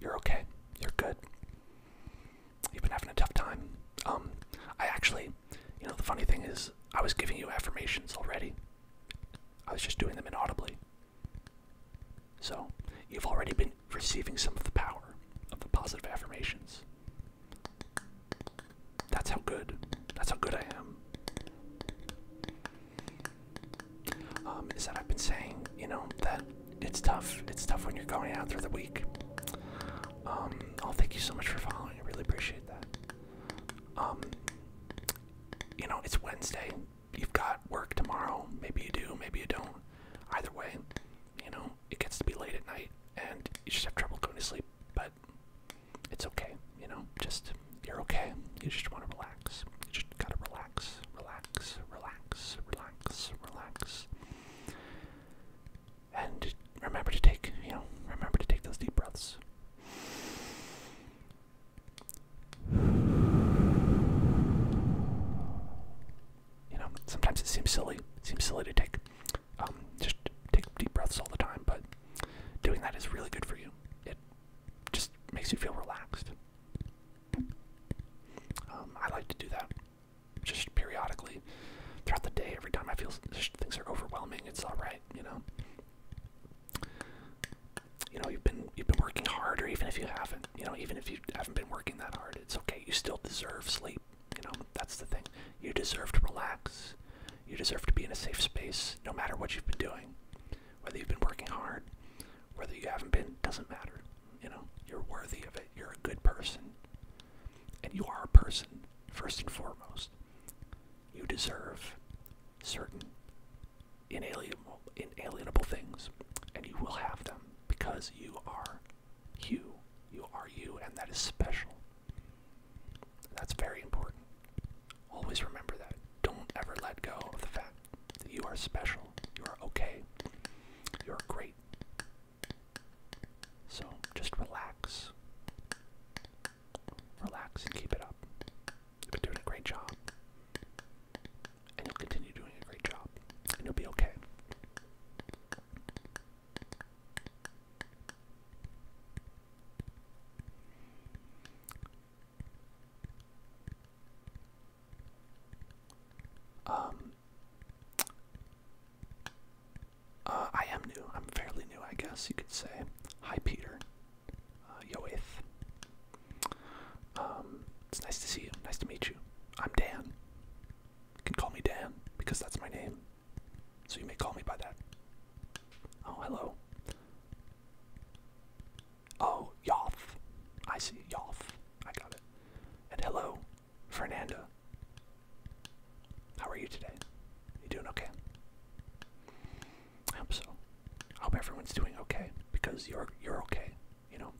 You're okay. You're good. You've been having a tough time. Um, I actually, you know, the funny thing is, I was giving you affirmations already. I was just doing them inaudibly. So, you've already been receiving some of the power of the positive affirmations. That's how good. That's how good I am. Um, is that I've been saying, you know, that it's tough. It's tough when you're going out through the week. Um, oh, thank you so much for following. I really appreciate that. Um, you know, it's Wednesday. You've got work tomorrow. Maybe you do, maybe you don't. Either way, you know, it gets to be late at night and you just have trouble going to sleep, but it's okay, you know, just you're okay. You just want to relax. You just gotta relax, relax, relax, relax, relax. And remember to take, you know, remember to take those deep breaths. You know, sometimes it seems silly. seems silly to take, um, just take deep breaths all the time, but doing that is really good for you. It just makes you feel relaxed. Um, I like to do that just periodically throughout the day. Every time I feel things are overwhelming, it's all right, you know. You know, you've been you've been working hard, or even if you haven't, you know, even if you haven't been working that hard, it's okay. You still deserve sleep. You know, that's the thing. You deserve to relax. You deserve to be in a safe space, no matter what you've been doing, whether you've been working hard, whether you haven't been doesn't matter. You know, you're worthy of it. You're a good person. And you are a person, first and foremost. You deserve certain inalienable, inalienable things, and you will have them because you are you. You are you, and that is special. That's very important. Always remember that. Don't ever let go of the fact you are special. You are okay. You are great. So just relax. Relax and keep it up. You've been doing a great job. And you'll continue doing a great job. And you'll be okay. Um, uh, I am new. I'm fairly new, I guess you could say. Hi, Peter. Uh, Um, it's nice to see you. Nice to meet you. I'm Dan. You can call me Dan because that's my name. So you may call me by that. Oh, hello. Oh, Yoth. I see, Yoth. I got it. And hello, Fernanda. How are you today? You doing okay? I hope so. I hope everyone's doing okay because you're you're okay. You know,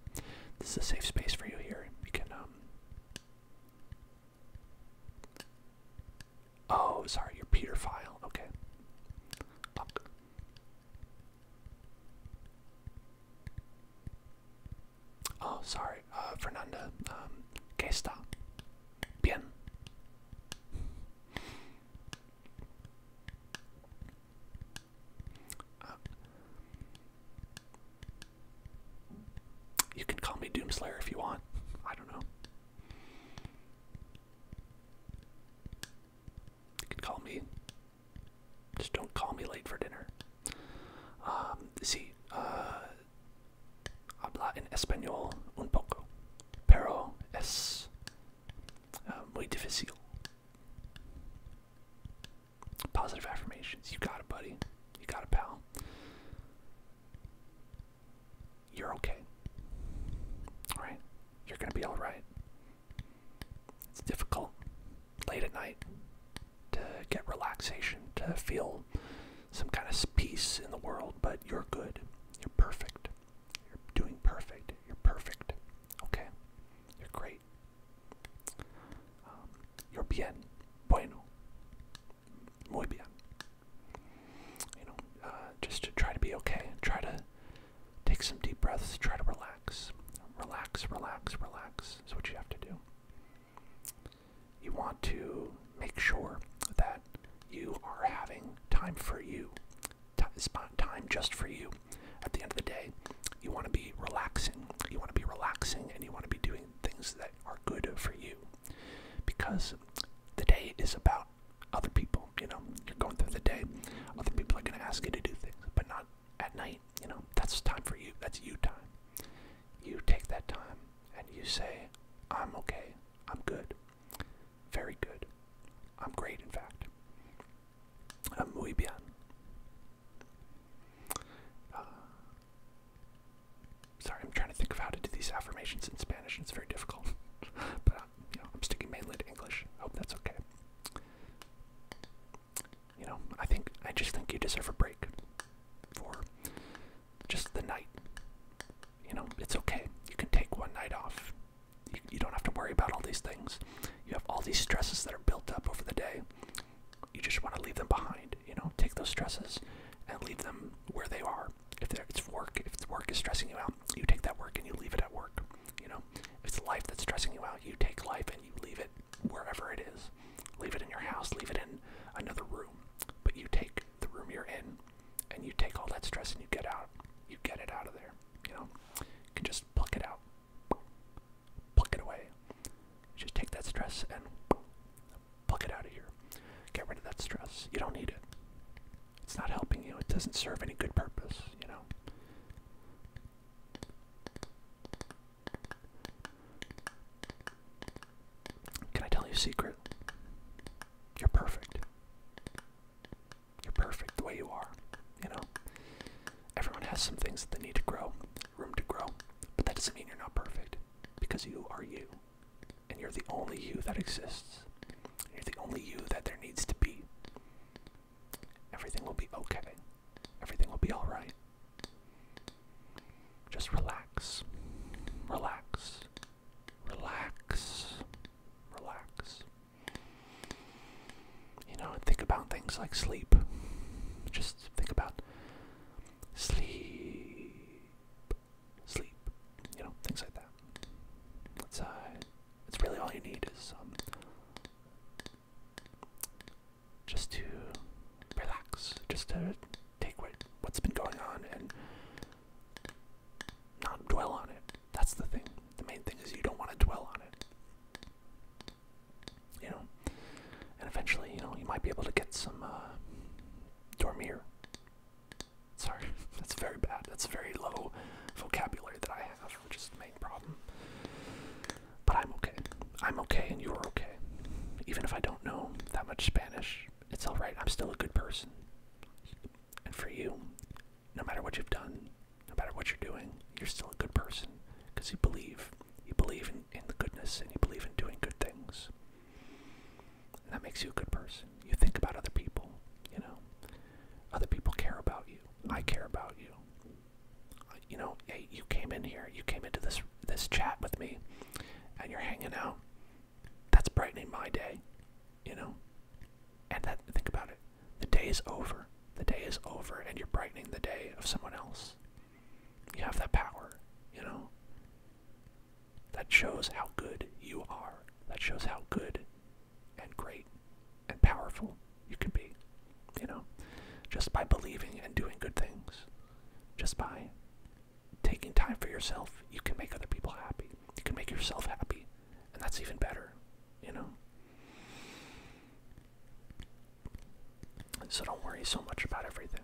this is a safe space for you here. You can um. Oh, sorry, your Peter File. Okay. Oh, sorry, uh, Fernanda. Um, que Bien. you can call me Doomslayer if you want. I don't know. You can call me. Just don't call me late for dinner. Um, see, uh, habla en español un poco, pero es uh, muy difícil. Positive affirmations. You got it, buddy. You got it, pal. You're okay. Alright? You're gonna be alright. It's difficult late at night to get relaxation, to feel some kind of peace in the world, but you're good. You're perfect. You're doing perfect. You're perfect. Okay? You're great. Um, you're bien. Bueno. Muy bien. You know, uh, just try to be okay. Try to Take some deep breaths, try to relax. Relax, relax, relax is what you have to do. You want to make sure that you are having time for you, time just for you. At the end of the day, you want to be relaxing. You want to be relaxing and you want to be doing things that are good for you because the day is about other people you know, you're going through the day. Other people are gonna ask you to do things, but not at night, you know, that's time for you. That's you time. You take that time and you say, I'm okay, I'm good, very good, I'm great, in fact. I'm muy bien. Uh, sorry, I'm trying to think of how to do these affirmations in Spanish, and it's very difficult. but uh, you I'm sticking mainland English. hope that's okay. You know, I think I just think you deserve a break for just the night. You know, it's okay. You can take one night off. You, don't have to worry about all these things. You have all these stresses that are built up over the day. You just want to leave them behind. You know, take those stresses and leave them where they are. If it's work, if work is stressing you out, you take that work and you leave it at work. You know, if it's life that's stressing you out, you take life and you leave it wherever it is. Leave it in your house, leave it in another room. But you take the room you're in and you take all that stress and you get out. You get it out of there. You know, you can just pluck it out, pluck it away. just take that stress and pluck it out of here. Get rid of that stress. You don't need it. It's not helping you. It doesn't serve any good purpose, you know. Can I tell you a secret? You're perfect. You're perfect the way you are. You know? Everyone has some things that they need to grow, room to grow. But that doesn't mean you're not perfect. Because you are you. And you're the only you that exists. You're the only you that there needs to be. Everything will be okay. Everything will be alright. Just relax. Relax. Relax. Relax. You know, think about things like sleep. Just think about sleep. Sleep. You know, things like that. It's, uh, it's really all you need is um, just to relax, just to take what, what's been going on and not dwell on it. That's the thing. The main thing is you don't want to dwell on it. You know? And eventually, you know, you might be able to get some uh, dormir. Sorry, that's very bad. That's very low vocabulary that I have which is the main problem. But I'm okay. I'm okay, and you are okay. Even if I don't know that much Spanish, it's alright. I'm still a good person. And for you, no matter what you've done, no matter what you're doing, you're still a good person because you believe. You believe in, in the goodness and you believe in doing good things. And that makes you a good person. You think about other people, you know. Other people care about you. I care about you. You know, hey, you came in here, you came into this this chat with me, and you're hanging out. That's brightening my day, you know. And that think about it. The day is over. The day is over, and you're brightening the day of someone else. You have that power, you know. That shows how good you are. That shows how good and great and powerful you can be, you know, just by believing and doing good things, just by taking time for yourself, you can make other people happy. You can make yourself happy, and that's even better, you know. So don't worry so much about everything.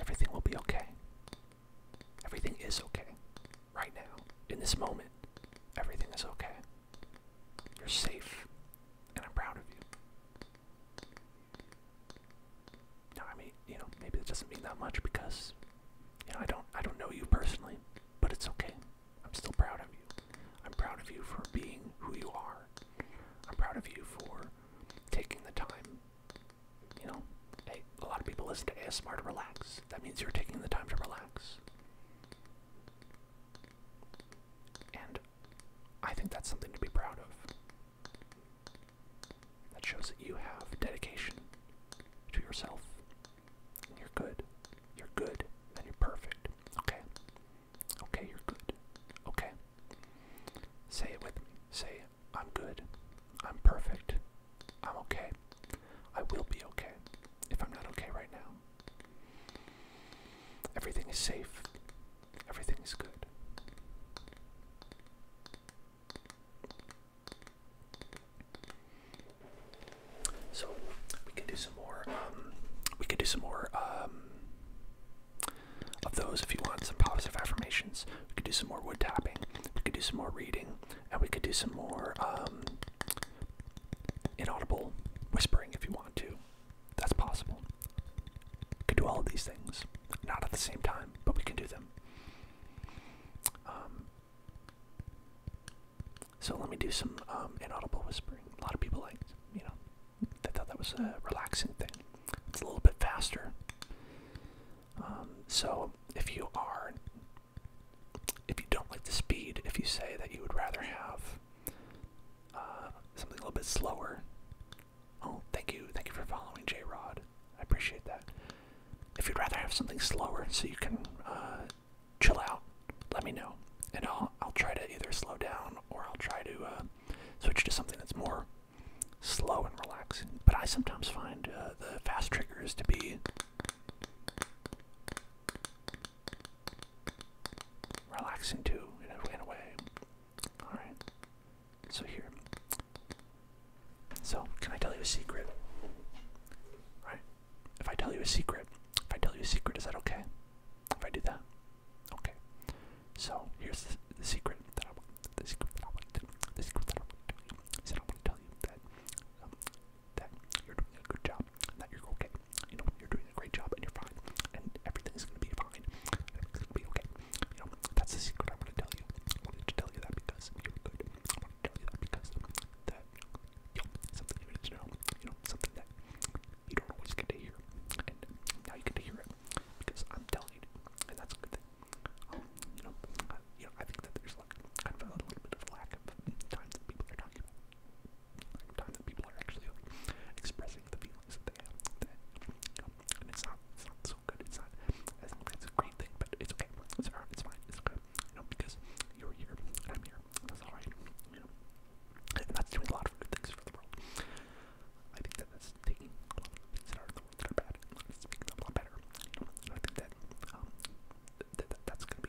Everything will be okay. Everything is okay right now, in this moment, everything is okay. You're safe, and I'm proud of you. Now, I mean, you know, maybe it doesn't mean that much because, you know, I don't, I don't know you personally, but it's okay. I'm still proud of you. I'm proud of you for being who you are. I'm proud of you for taking the time. You know, hey, a lot of people listen to ASMR to relax. That means you're taking the time to relax. And I think that's something to be proud of. That shows that you have dedication to yourself. And you're good. You're good. And you're perfect. Okay? Okay, you're good. Okay? Say it with me. Say, I'm good. I'm perfect. I'm okay. I will be okay if I'm not okay right now. Everything is safe. Everything is good. So we could do some more. Um, we could do some more um, of those if you want some positive affirmations. We could do some more wood tapping. We could do some more reading, and we could do some more um, inaudible whispering if you want to. That's possible. We can do all of these things. Not at the same time, but we can do them. Um, so let me do some um, inaudible whispering. A lot of people like, you know, they thought that was a relaxing thing. It's a little bit faster. Um, so if you are if you don't like the speed, if you say that you would rather have uh, something a little bit slower. Oh, thank you, thank you for following J Rod. I appreciate that. If you'd rather have something slower so you can uh, chill out, let me know, and I'll I'll try to either slow down or I'll try to uh, switch to something that's more slow and relaxing. But I sometimes find the fast triggers to be relaxing too, in a, in a way. Alright. So here. So, can I tell you a secret? Right? If I tell you a secret, if I tell you a secret, is that okay? If I do that? Okay. So, here's the, the secret that I want. The secret that I want to do. The secret that I want to do is that I want to tell you that um, that you're doing a good job, and that you're okay. You know, you're doing a great job, and you're fine, and everything's gonna be fine. Everything's gonna be okay. You know, that's the secret I want to tell you. I wanted to tell you that because you're good. I want to tell you that because that, you know, something you need to know. You know, something that you don't always get to hear, and now you get to hear it because I'm telling you, and that's a good thing. Um, you know, but I think that there's like kind of a little bit of lack of time that people are talking time that people are actually expressing the feelings that they have. Um, and it's not, it's not so good. It's not, I great thing, but it's okay. It's alright. It's fine. It's okay. You because you're here, I'm here. That's all right. You and that's doing a lot of good things for the world. I think that that's taking a lot of things that are bad. It's making them a lot better. You know, I think that um, th th that's good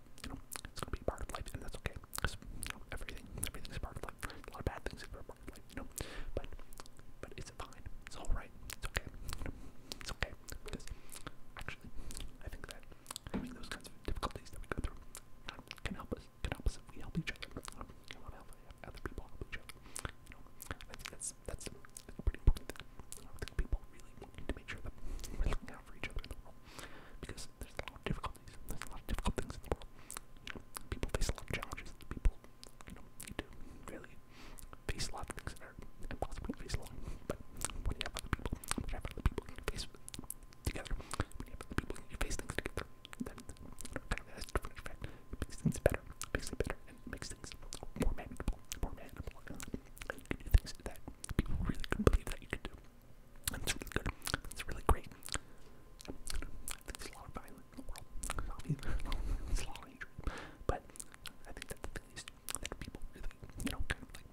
You know, it's gonna be part of life, and that's okay. Cause everything, everything's part of life. A lot of bad things are part of life, you know. But, but it's fine. It's all right. It's okay. it's okay because actually, I think that having those kinds of difficulties that we go through can help us. Can help us we help each other. Um, help other people help each other. You know, I think that's that's a, pretty important thing. I think people really need to make sure that down for each other in the world. Because there's a lot of difficulties. There's a lot of difficult things in the world. You know, people face a lot of challenges. People, you know, need to really face a lot of things that are impossible to face alone. But when you have other people, when you have other people you can face together, when you have other people you can face things together, then you know, kind of has a different effect. It makes things better, it makes it better, and it makes things more manageable, more manageable, and you can do things that people really couldn't believe that you could do. it's really good. It's really great. I think there's a lot of violence in the world. There's a lot of hatred. But I think that's the least that people really, you know, kind of like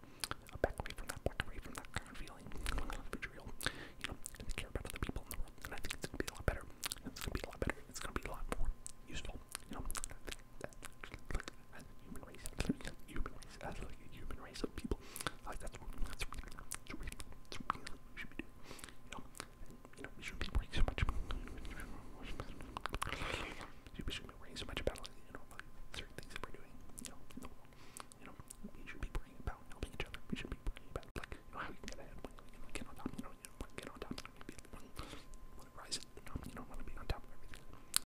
uh, back away from that, back away from that kind of feeling, kind of vitriol, you know, and care about other people in the world. And I think it's going to be a lot better. It's going to be a lot better. It's going to be a lot more useful, you know that. human race. human race. As like a human race of people. Like that's what we should be doing. You know, and, you know, we should be worrying so much. We should be worrying so much about you know, certain things that we're doing. You know, You know, we should be worrying about helping each other. We should be worrying about like, you know, how we can get ahead, we can get on top. You know, you know, get on top. You know, rise at the top. You know, want to be on top of everything.